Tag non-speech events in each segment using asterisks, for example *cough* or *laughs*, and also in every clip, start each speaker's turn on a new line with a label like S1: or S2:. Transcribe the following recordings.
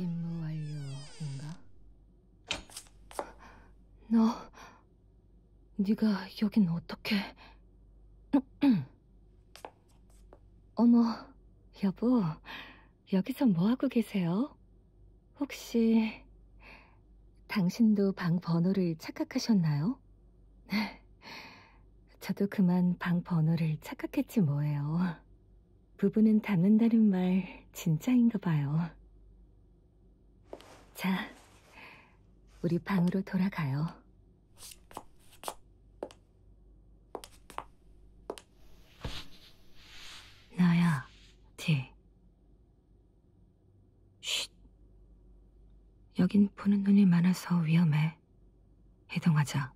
S1: 임무 완료인가? 너, 네가 여긴 어떻게? *clears throat* 어머, 여보, 여기서 뭐하고 계세요? 혹시 당신도 방 번호를 착각하셨나요? *laughs* 저도 그만 방 번호를 착각했지 뭐예요. 부부는 닮는다는 말 진짜인가 봐요. 자, 우리 방으로 돌아가요. 나야, 디. 쉿. 여긴 보는 눈이 많아서 위험해. 이동하자.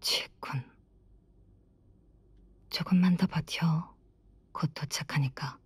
S1: 치군. 조금만 더 버텨. 곧 도착하니까.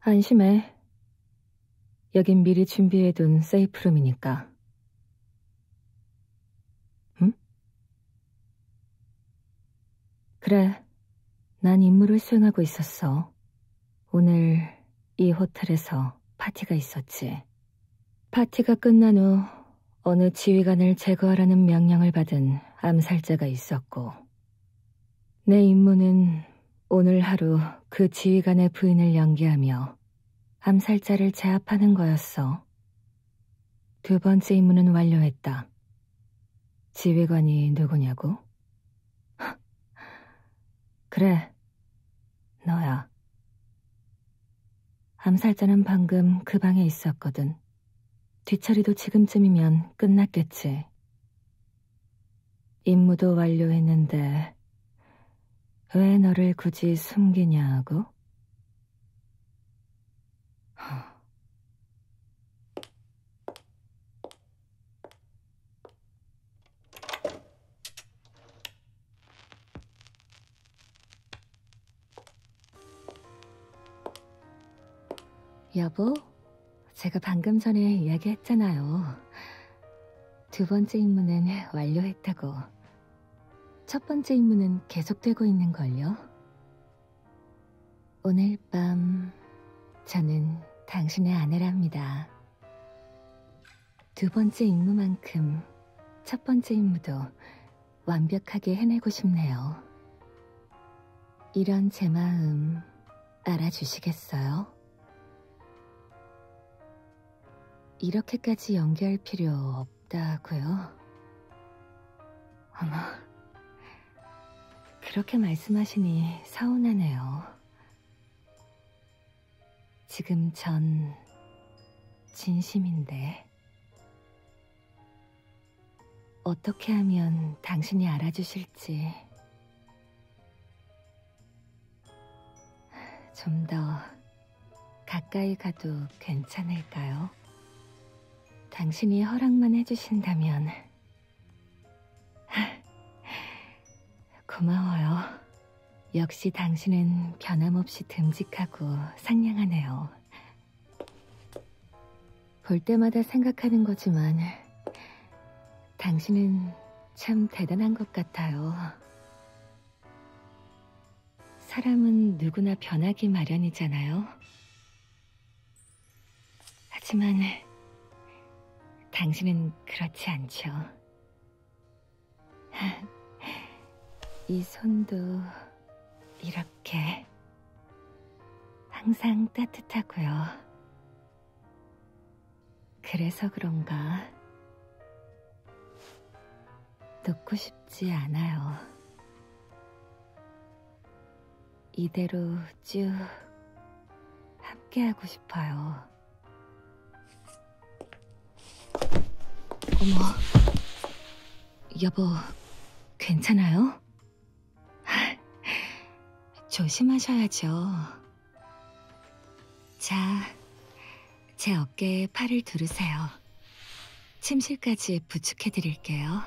S1: 안심해. 여긴 미리 준비해둔 세이프룸이니까. 응? 그래. 난 임무를 수행하고 있었어. 오늘 이 호텔에서 파티가 있었지. 파티가 끝난 후 어느 지휘관을 제거하라는 명령을 받은 암살자가 있었고, 내 임무는 오늘 하루 그 지휘관의 부인을 연기하며 암살자를 제압하는 거였어. 두 번째 임무는 완료했다. 지휘관이 누구냐고? *laughs* 그래, 너야. 암살자는 방금 그 방에 있었거든. 뒤처리도 지금쯤이면 끝났겠지. 임무도 완료했는데 왜 너를 굳이 숨기냐고? 여보, 제가 방금 전에 이야기했잖아요. 두 번째 임무는 완료했다고. 첫 번째 임무는 계속되고 있는걸요. 오늘 밤 저는 당신의 아내랍니다. 두 번째 임무만큼 첫 번째 임무도 완벽하게 해내고 싶네요. 이런 제 마음 알아주시겠어요? 이렇게까지 연기할 필요 없다고요? 어머, 그렇게 말씀하시니 서운하네요. 지금 전 진심인데 어떻게 하면 당신이 알아주실 했지. 좀더 가까이 가도 괜찮을까요? 당신이 허락만 해주신다면. 고마워요. 역시 당신은 변함없이 듬직하고 상냥하네요. 볼 때마다 생각하는 거지만 당신은 참 대단한 것 같아요. 사람은 누구나 변하기 마련이잖아요. 하지만 당신은 그렇지 않죠. *laughs* 이 손도 이렇게 항상 따뜻하고요. 그래서 그런가 놓고 싶지 않아요. 이대로 쭉 함께하고 싶어요. 어머, 여보, 괜찮아요? *laughs* 조심하셔야죠. 자, 제 어깨에 팔을 두르세요. 침실까지 부축해 드릴게요.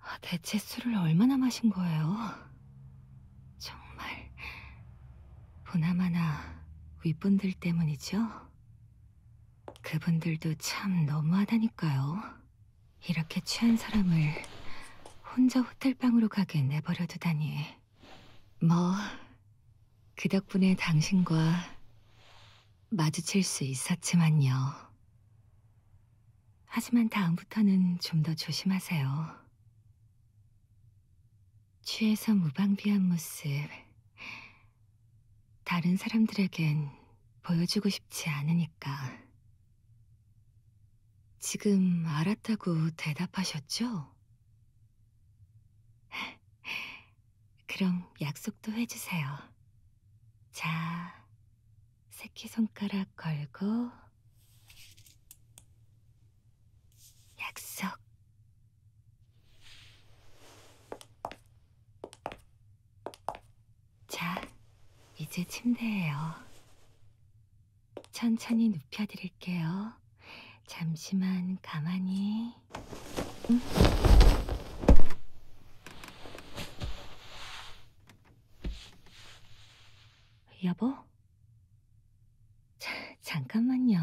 S1: 아, 대체 술을 얼마나 마신 거예요? 정말 보나마나 윗분들 때문이죠? 그분들도 참 너무하다니까요. 이렇게 취한 사람을 혼자 호텔방으로 가게 내버려 두다니. 뭐, 그 덕분에 당신과 마주칠 수 있었지만요. 하지만 다음부터는 좀 더 조심하세요. 취해서 무방비한 모습. 다른 사람들에겐 보여주고 싶지 않으니까. 지금 알았다고 대답하셨죠? *laughs* 그럼 약속도 해주세요. 자, 새끼손가락 걸고 약속. 자, 이제 침대예요. 천천히 눕혀드릴게요. 잠시만 가만히. 응? 여보? 자, 잠깐만요.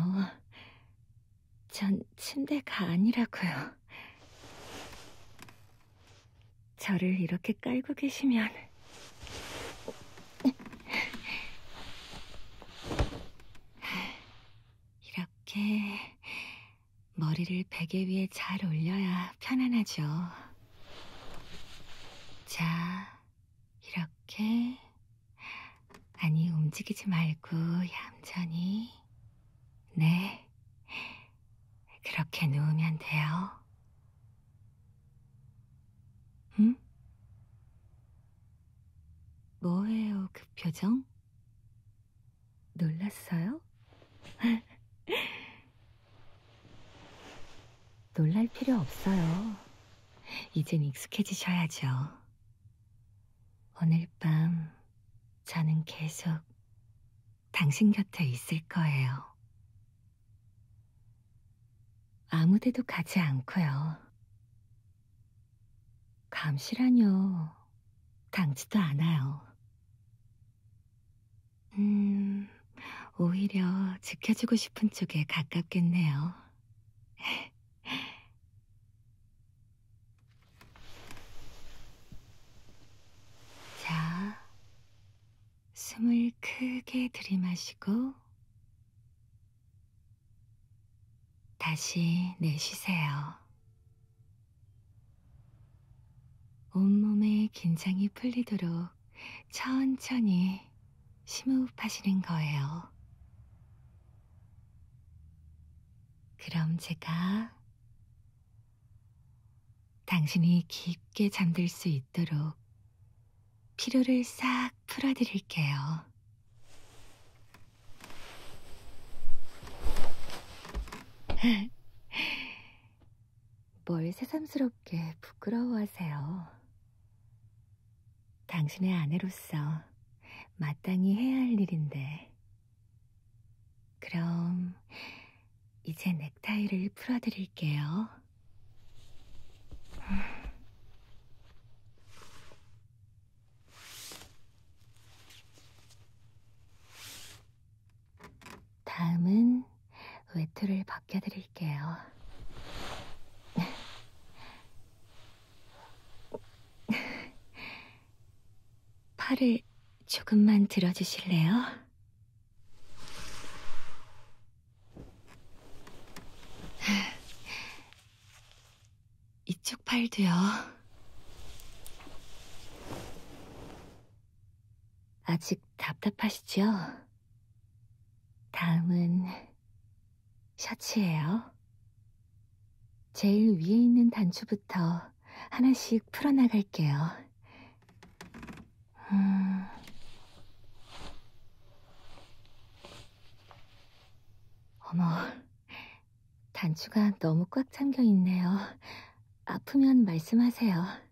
S1: 전 침대가 아니라고요. 저를 이렇게 깔고 계시면 이렇게 머리를 베개 위에 잘 올려야 편안하죠. 자, 이렇게. 아니, 움직이지 말고, 얌전히. 네. 그렇게 누우면 돼요. 응? 뭐예요, 그 표정? 놀랐어요? *laughs* 놀랄 필요 없어요. 이젠 익숙해지셔야죠. 오늘 밤 저는 계속 당신 곁에 있을 거예요. 아무 데도 가지 않고요. 감시라뇨. 당지도 않아요. 음, 오히려 지켜주고 싶은 쪽에 가깝겠네요. *laughs* 자, 숨을 크게 들이마시고, 다시 내쉬세요. 온몸의 긴장이 풀리도록 천천히 심호흡하시는 거예요. 그럼 제가 당신이 깊게 잠들 수 있도록 피로를 싹 풀어드릴게요. 뭘 새삼스럽게 부끄러워하세요. 당신의 아내로서 마땅히 해야 할 일인데. 그럼, 이제 넥타이를 풀어드릴게요. 다음은 외투를 벗겨드릴게요. *laughs* 팔을 조금만 들어주실래요? *laughs* 이쪽 팔도요. 아직 답답하시죠? 다음은 셔츠예요. 제일 위에 있는 단추부터 하나씩 풀어나갈게요. 음... 어머, 단추가 너무 꽉 잠겨 있네요. 아프면 말씀하세요.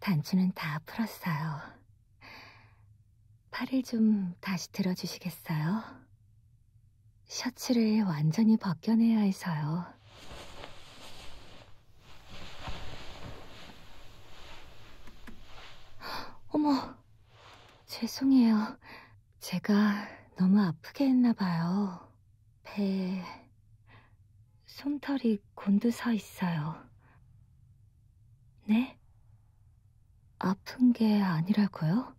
S1: 단추는 다 풀었어요. 팔을 좀 다시 들어주시겠어요? 셔츠를 완전히 벗겨내야 해서요. 어머, 죄송해요. 제가 너무 아프게 했나 봐요. 배에 솜털이 곤두서 있어요. 네? 아픈 게 아니라고요?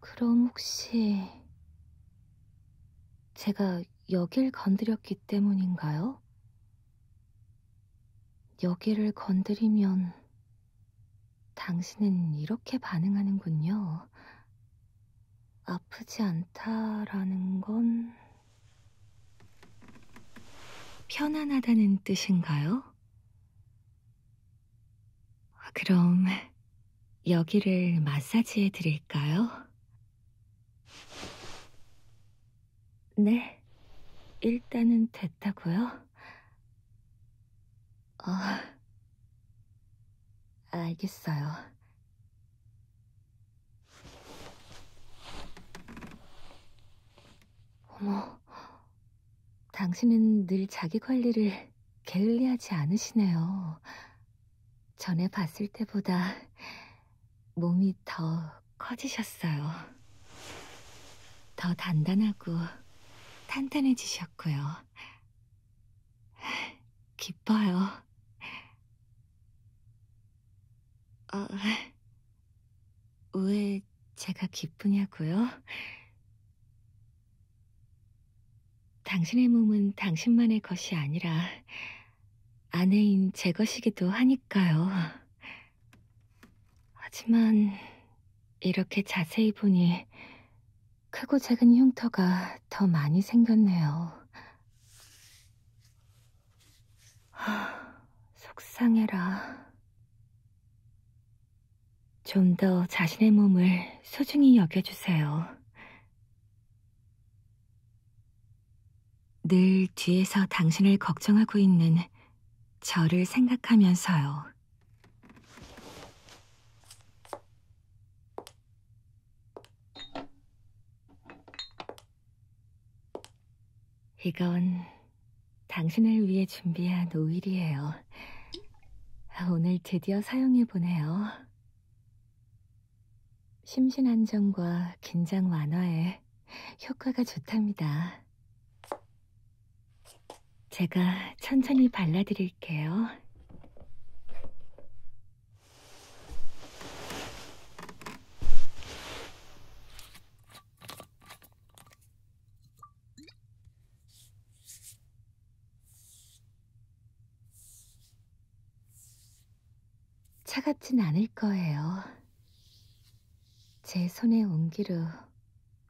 S1: 그럼 혹시 제가 여길 건드렸기 때문인가요? 여기를 건드리면 당신은 이렇게 반응하는군요. 아프지 않다라는 건 편안하다는 뜻인가요? 아, 그럼 여기를 마사지해 드릴까요? 네, 일단은 됐다고요? 어, 알겠어요. 어머, 당신은 늘 자기 관리를 게을리하지 않으시네요. 전에 봤을 때보다 몸이 더 커지셨어요. 더 단단하고 탄탄해지셨고요. 기뻐요. 아, 왜 제가 기쁘냐고요? 당신의 몸은 당신만의 것이 아니라 아내인 제 것이기도 하니까요. 하지만 이렇게 자세히 보니 크고 작은 흉터가 더 많이 생겼네요. 하, 속상해라. 좀 더 자신의 몸을 소중히 여겨주세요. 늘 뒤에서 당신을 걱정하고 있는 저를 생각하면서요. 이건 당신을 위해 준비한 오일이에요. 아, 오늘 드디어 사용해보네요. 심신안정과 긴장 완화에 효과가 좋답니다. 제가 천천히 발라드릴게요. 차갑진 않을 거예요. 제 손의 온기로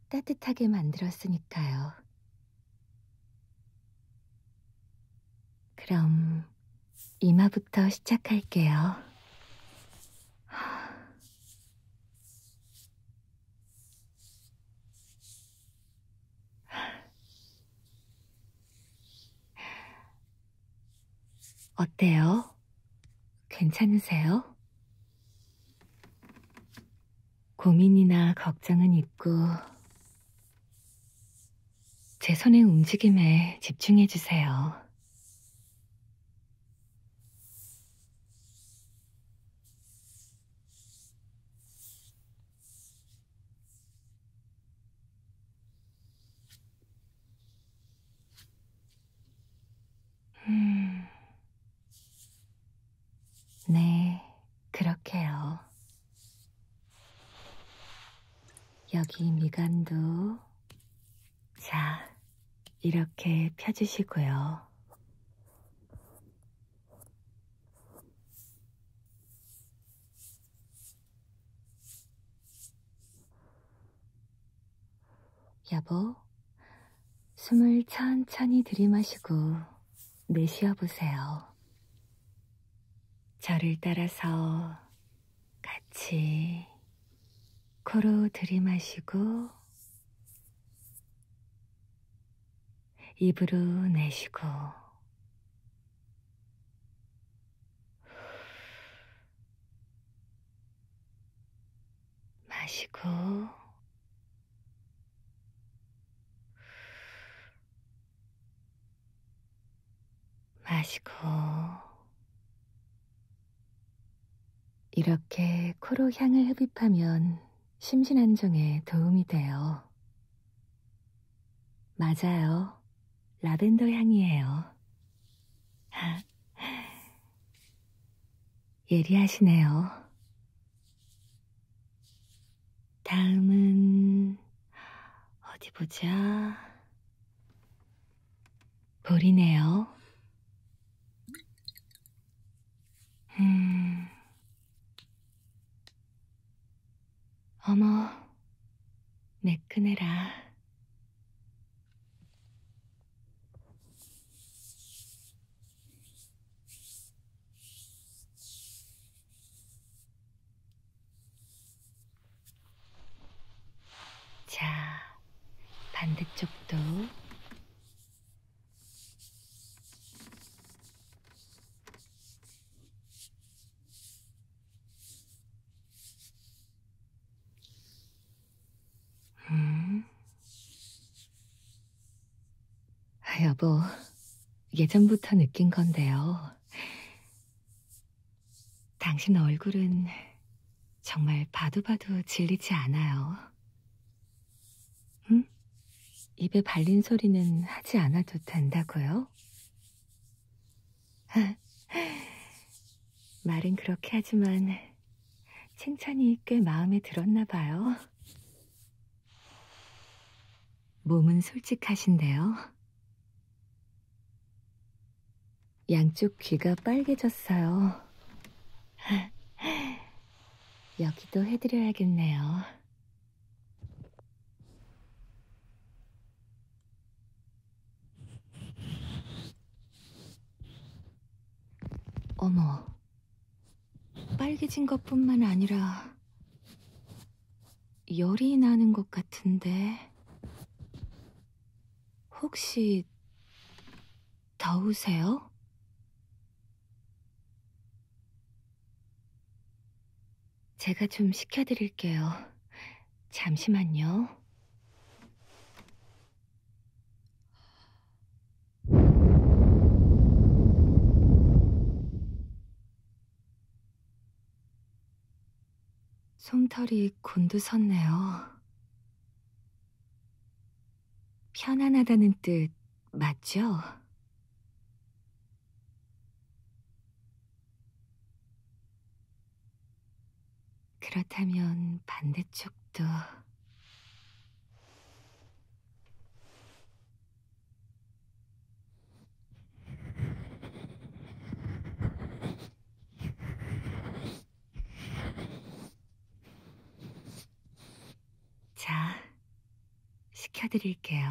S1: 따뜻하게 만들었으니까요. 그럼 이마부터 시작할게요. 어때요? 괜찮으세요? 고민이나 걱정은 있고, 제 손의 움직임에 집중해주세요. 음. 네, 그렇게요. 여기 미간도 자, 이렇게 펴주시고요. 여보, 숨을 천천히 들이마시고 내쉬어 보세요. 저를 따라서 같이 코로 들이마시고 입으로 내쉬고 마시고 마시고 이렇게 코로 향을 흡입하면 심신 안정에 도움이 돼요. 맞아요. 라벤더 향이에요. *laughs* 예리하시네요. 다음은 어디 보자. 볼이네요. 음. 어머, 매끈해라. 자, 반대쪽도 음. 아, 여보, 예전부터 느낀 건데요. 당신 얼굴은 정말 봐도 봐도 질리지 않아요. 응? 입에 발린 소리는 하지 않아도 된다고요? *laughs* 말은 그렇게 하지만 칭찬이 꽤 마음에 들었나 봐요. 몸은 솔직하신데요. 양쪽 귀가 빨개졌어요. *laughs* 여기도 해드려야겠네요. 어머, 빨개진 것뿐만 아니라 열이 나는 것 같은데. 혹시 더우세요? 제가 좀 시켜드릴게요. 잠시만요. 솜털이 곤두섰네요. 편안하다는 뜻 맞죠? 그렇다면 반대쪽도 자, 시켜드릴게요.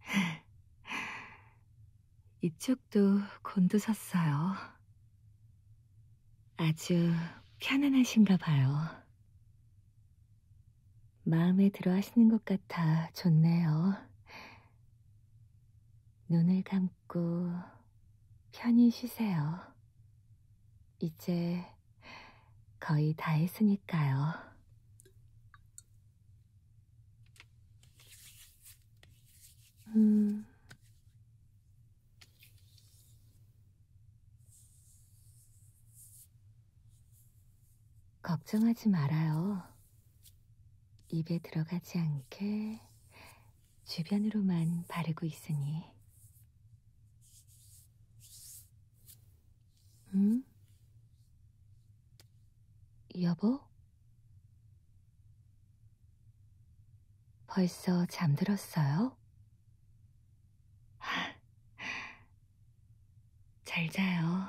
S1: *laughs* 이쪽 성격도 곤두섰어요. 아주 편안하신가 봐요. 마음에 들어 하시는 것 같아 좋네요. 눈을 감고 편히 쉬세요. 이제 거의 다 했으니까요. 음. 걱정하지 말아요. 입에 들어가지 않게 주변으로만 바르고 있으니. 응? 음? 여보? 벌써 잠들었어요? *laughs* 잘 자요.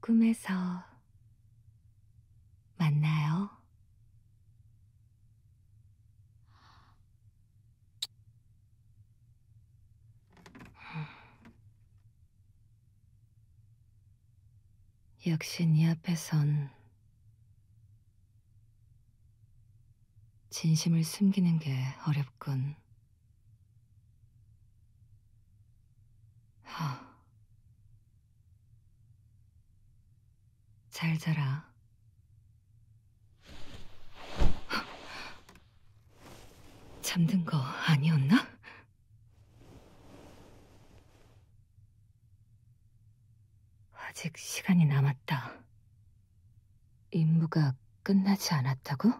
S1: 꿈에서 만나요. *laughs* 역시 네 앞에선 진심을 숨기는 게 어렵군. 하. 잘 자라. 잠든 거 아니었나? 아직 시간이 남았다. 임무가 끝나지 않았다고?